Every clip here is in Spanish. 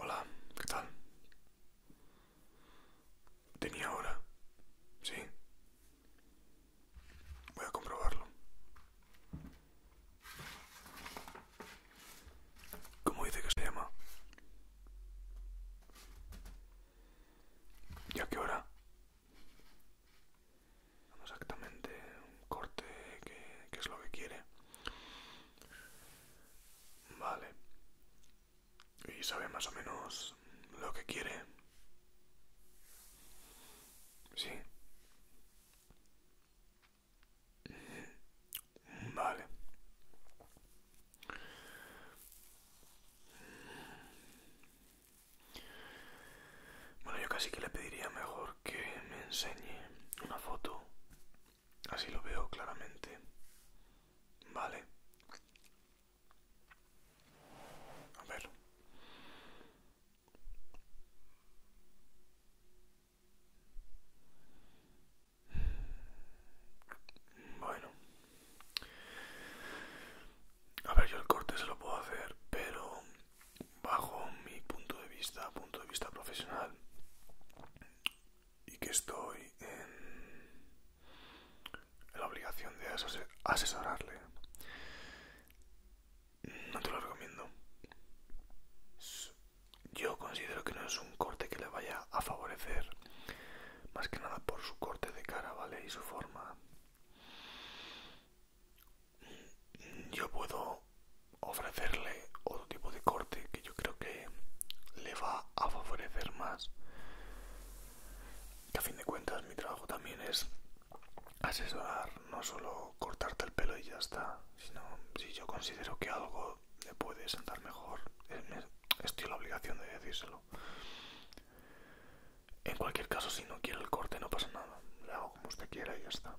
Hola, ¿qué tal? Tenía hora, sí. Voy a comprobarlo. ¿Cómo dice que se llama? ¿Ya qué hora? Exactamente, un corte que, que es lo que quiere. Vale. Y sabe más o menos lo que quiere. Sí. Vale. Bueno, yo casi que le pediría mejor que me enseñe una foto. Así lo veo claramente. Vale. A ver. Bueno. A ver, yo el corte se lo puedo hacer, pero bajo mi punto de vista, punto de vista profesional, y que estoy en la obligación de asesorarle, no te lo recomiendo yo considero que no es un corte que le vaya a favorecer más que nada por su corte de cara vale y su forma yo puedo ofrecerle otro tipo de corte que yo creo que le va a favorecer más que a fin de cuentas mi trabajo también es asesorar no solo cortarte el pelo y ya está, sino si yo considero que algo le puede sentar mejor, estoy en la obligación de decírselo. En cualquier caso, si no quiero el corte, no pasa nada, le hago como usted quiera y ya está.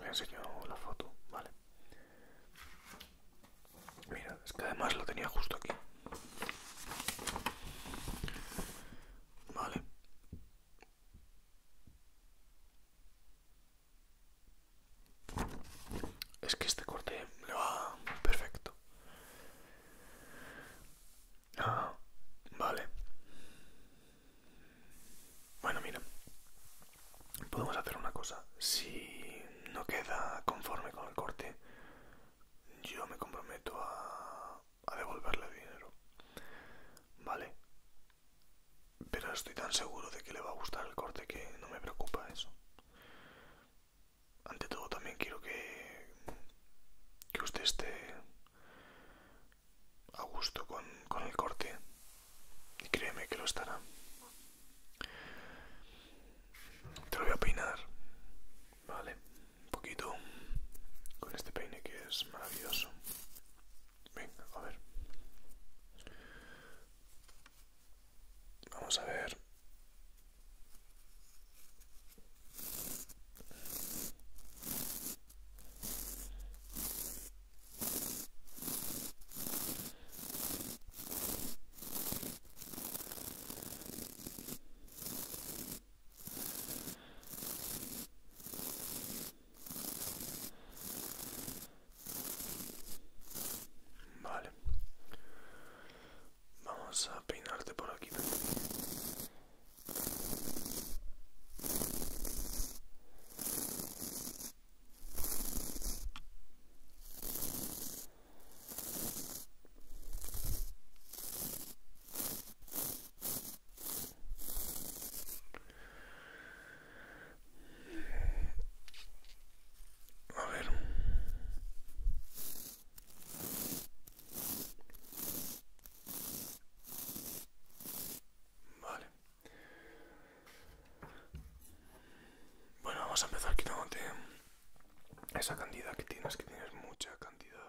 Le enseño la foto, vale. Mira, es que además lo tenía justo aquí. Vale. Es que este corte le va perfecto. Ah, vale. Bueno, mira. Podemos hacer una cosa. Si no queda conforme con el corte, yo me comprometo a a devolverle dinero. Vale. Pero estoy tan seguro de que le va a gustar el corte que no me preocupa eso. Ante todo también quiero que, que usted esté a gusto con, con el corte. Y créeme que lo estará. Te lo voy a peinar. Vale un poquito con este peine que es maravilloso. Venga, a ver. Vamos a ver. Vale. Vamos a peinarte por aquí a ver. Vale. Bueno, vamos a empezar quitándote esa cantidad que tienes, que tienes mucha cantidad.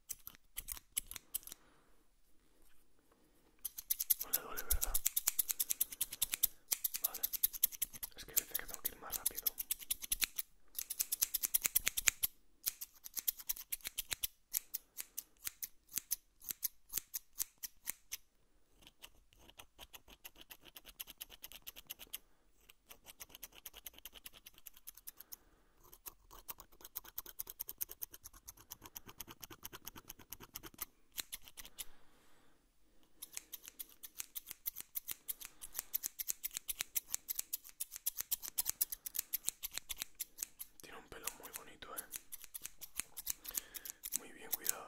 No le duele, ¿verdad? Vale. Es que dice que tengo que ir más rápido. Tiene un pelo muy bonito, eh. Muy bien cuidado.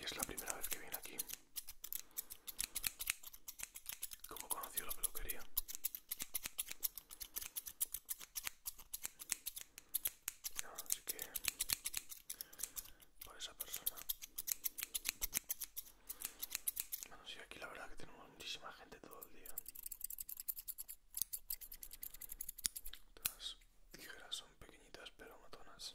Y es la primera vez que viene aquí. Como conoció la peluquería. No, así que por esa persona. Bueno, sí, aquí la verdad que tenemos muchísima gente todo el día. Las tijeras son pequeñitas pero matonas.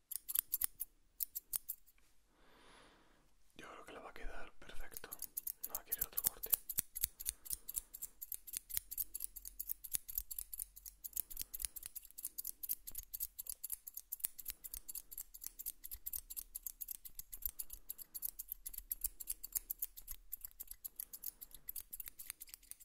Yo creo que la va a quedar perfecto. No quiere otro corte.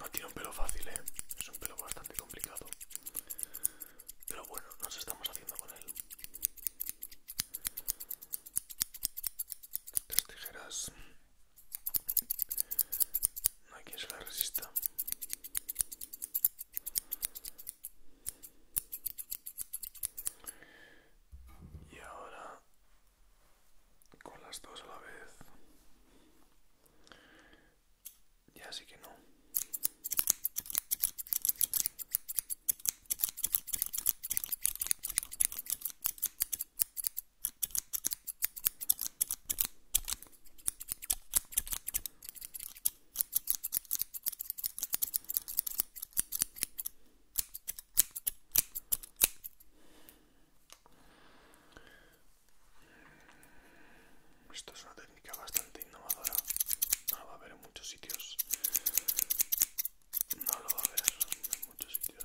No tiene un pelo fácil, ¿eh? Es un pelo bastante complicado. Pero bueno, nos estamos haciendo con él estas tijeras no hay quien resista y ahora con las dos a la vez ya así que no esto es una técnica bastante innovadora. No ah, va a haber en muchos sitios no lo va a ver en muchos sitios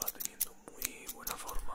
Va teniendo muy buena forma.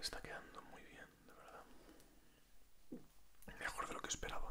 Está quedando muy bien, de verdad. Mejor de lo que esperaba.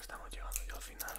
Estamos llegando ya al final.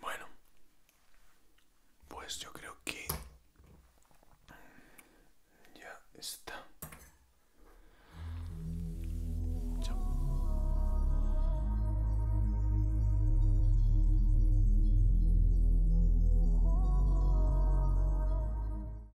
Bueno, pues yo creo que ya está.